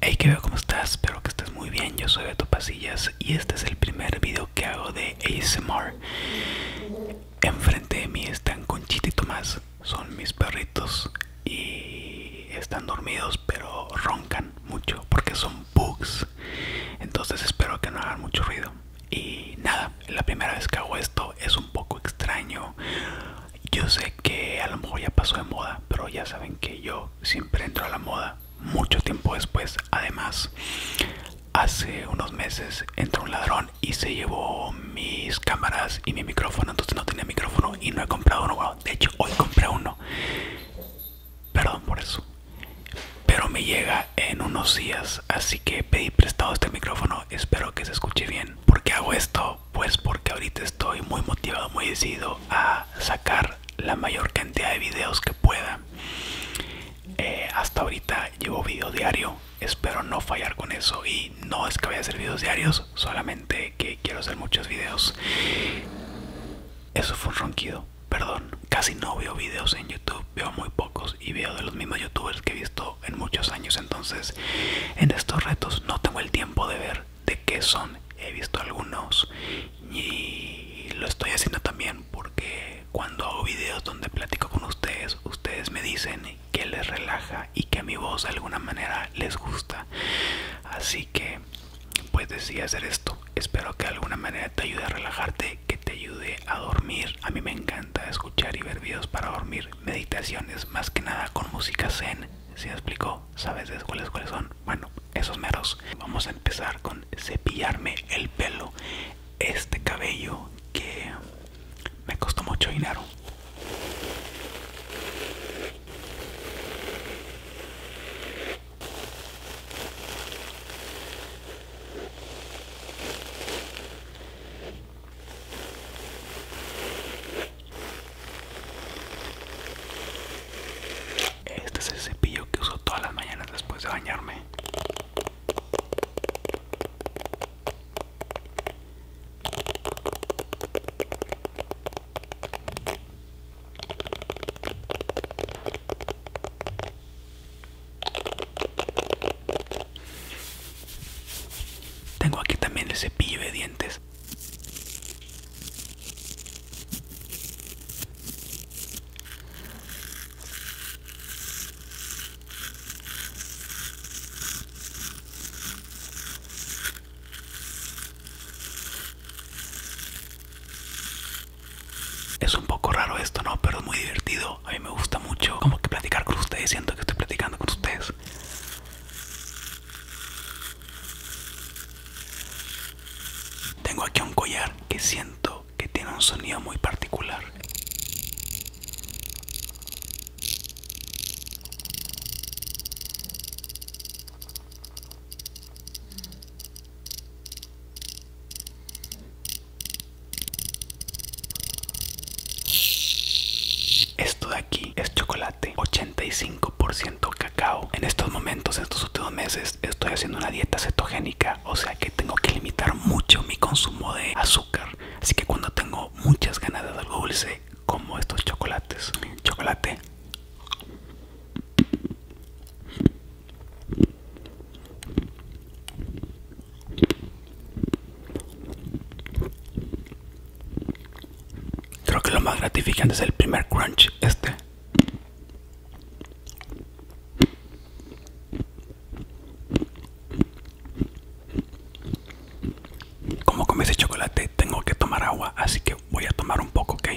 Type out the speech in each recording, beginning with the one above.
Hey que veo cómo estás, espero que estés muy bien, yo soy Beto Pasillas y este es el primer video que hago de ASMR Enfrente de mí están Conchita y son mis perritos y están dormidos pero roncan mucho porque son bugs Entonces espero que no hagan mucho ruido Y nada, la primera vez que hago esto es un poco extraño Yo sé que a lo mejor ya pasó de moda, pero ya saben que yo siempre entró a la moda mucho tiempo después. Además, hace unos meses entró un ladrón y se llevó mis cámaras y mi micrófono. Entonces no tenía micrófono y no he comprado uno. de hecho, hoy compré uno. Perdón por eso. Pero me llega en unos días. Así que pedí prestado este micrófono. Espero que se escuche bien. Porque hago esto pues porque ahorita estoy muy motivado, muy decidido a sacar la mayor cantidad de videos que pueda. Eh, hasta ahorita llevo video diario, espero no fallar con eso y no es que vaya a hacer videos diarios, solamente que quiero hacer muchos videos. Eso fue un ronquido, perdón. Casi no veo videos en YouTube, veo muy pocos y veo de los mismos youtubers que he visto en muchos años. Entonces, en estos retos no tengo el tiempo de ver de qué son. He visto algunos y lo estoy haciendo también porque cuando hago videos donde platico con ustedes, ustedes me dicen que les relaja y que a mi voz de alguna manera les gusta. Así que pues decidí hacer esto. Espero que de alguna manera te ayude a relajarte, que te ayude a dormir. A mí me encanta escuchar y ver videos para dormir, meditaciones más que nada con música zen si explicó? ¿Sabes cuáles cuáles son? Bueno, esos meros. Vamos a empezar con cepillarme el pelo. Este cabello que me costó mucho dinero. Este es el cepillo que uso todas las mañanas después de bañarme. Tengo aquí también el cepillo de dientes es un poco raro esto, ¿no? Pero es muy divertido. A mí me gusta mucho como que platicar con ustedes. Siento que estoy platicando con ustedes. Tengo aquí un collar que siento que tiene un sonido muy particular. Esto de aquí es chocolate, 85% cacao. En estos momentos, en estos últimos meses, estoy haciendo una dieta cetogénica, o sea que tengo que limitar mucho mi consumo de azúcar. Así que cuando tengo muchas ganas de algo dulce, como estos chocolates. Chocolate. Creo que lo más gratificante es el primer crunch este. Como comí ese chocolate, tengo que tomar agua, así que voy a tomar un poco, ¿ok?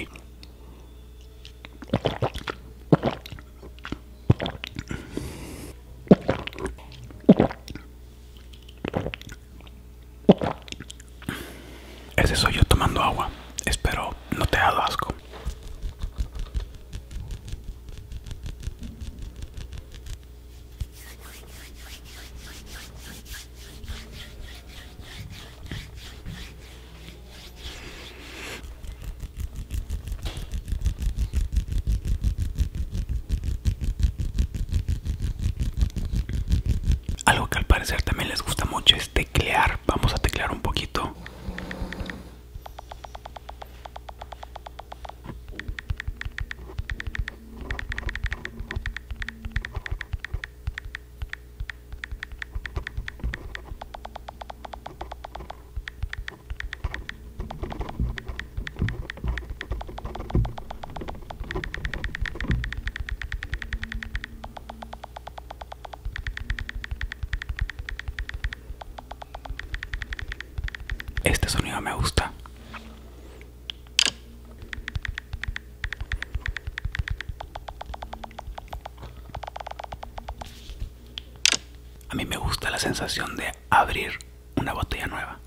Ese soy yo tomando agua. Espero no te haga asco. Algo que al parecer también les gusta mucho es teclear. Vamos a teclear un poquito. Este sonido me gusta. A mí me gusta la sensación de abrir una botella nueva.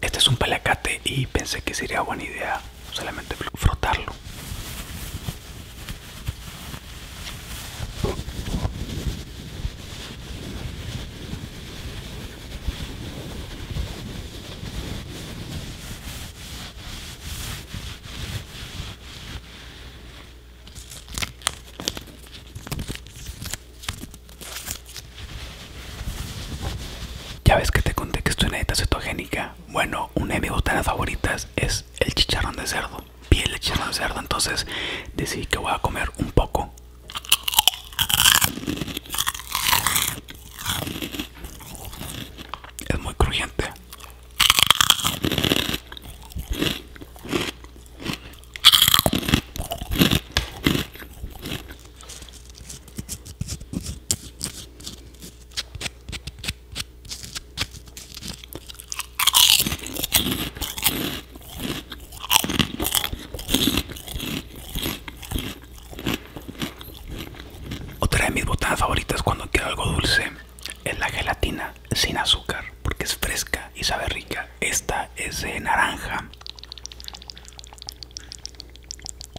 Este es un palacate y pensé que sería buena idea solamente frotarlo. Ya ves que te conté que estoy en dieta cetogénica bueno, una de mis botanas favoritas es el chicharrón de cerdo. Piel de chicharrón de cerdo. Entonces decidí que voy a comer un poco. Es muy crujiente. Otra de mis botanas favoritas cuando quiero algo dulce es la gelatina sin azúcar porque es fresca y sabe rica. Esta es de naranja.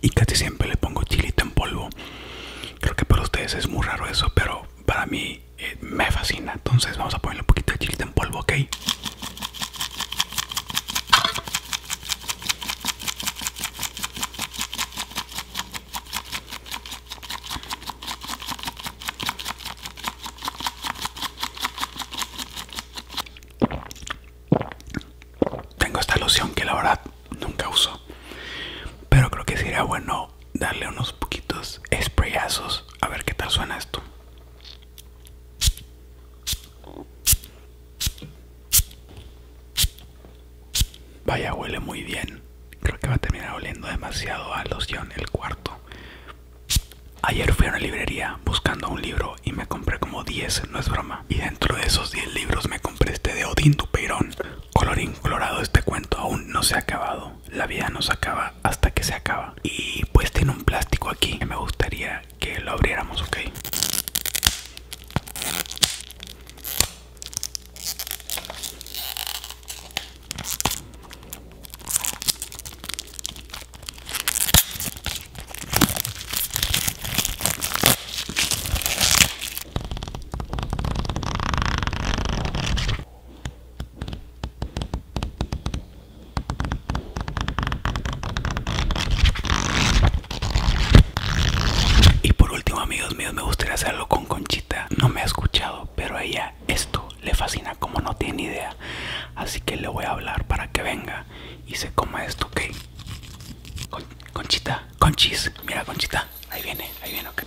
Y casi siempre le pongo chilito en polvo. Creo que para ustedes es muy raro eso, pero para mí eh, me fascina. Entonces vamos a ponerle un poquito de chilito en polvo, ¿ok? Tengo esta loción que la verdad nunca uso, pero creo que sería bueno darle unos poquitos sprayazos a ver qué tal suena esto. Vaya, huele muy bien. Creo que va a terminar oliendo demasiado a loción el cuarto. Ayer fui a una librería buscando un libro y me compré como 10, no es broma. Y dentro de esos 10 libros me compré este de Odín Dupeirón. Colorín colorado, este cuento aún no se ha acabado. La vida no se acaba hasta que se acaba. Y pues tiene un plástico aquí que me gustaría que lo abriéramos, ¿ok? Y por último amigos míos me gustaría hacerlo con Conchita No me ha escuchado pero a ella esto le fascina como no tiene idea. Así que le voy a hablar para que venga y se coma esto, ¿ok? conchita, conchis, mira conchita, ahí viene, ahí viene, ok.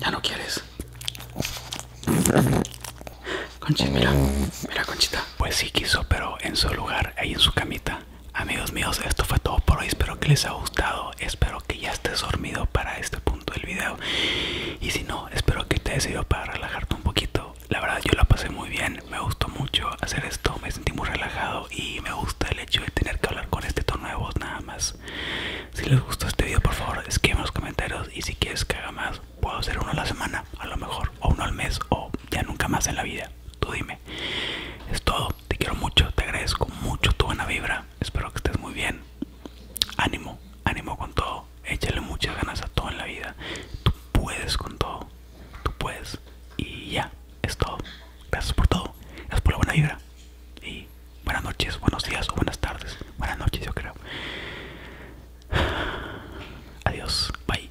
Ya no quieres. Conchis, mira, mira conchita. Pues sí quiso, pero en su lugar, ahí en su camita, Amigos míos, esto fue todo por hoy. Espero que les haya gustado. Espero que ya estés dormido para este punto del video. Y si no, espero que te haya servido para relajarte un poquito. La verdad, yo la pasé muy bien. Me gustó mucho hacer esto. Me sentí muy relajado y me gusta el hecho de tener que hablar con este tono de voz nada más. Si les gustó este video, por favor, escriban en los comentarios. Y si quieres que haga más, puedo hacer uno a la semana, a lo mejor, o uno al mes, o ya nunca más en la vida. Tú dime. Es todo. Te quiero mucho. Te agradezco mucho tu buena vibra. Espero que estés muy bien. Ánimo. Ánimo con todo. Échale muchas ganas a todo en la vida. Tú puedes con todo. Tú puedes. Y ya. Es todo. Gracias por todo. Gracias por la buena vibra. Y buenas noches, buenos días o buenas tardes. Buenas noches, yo creo. Adiós. Bye.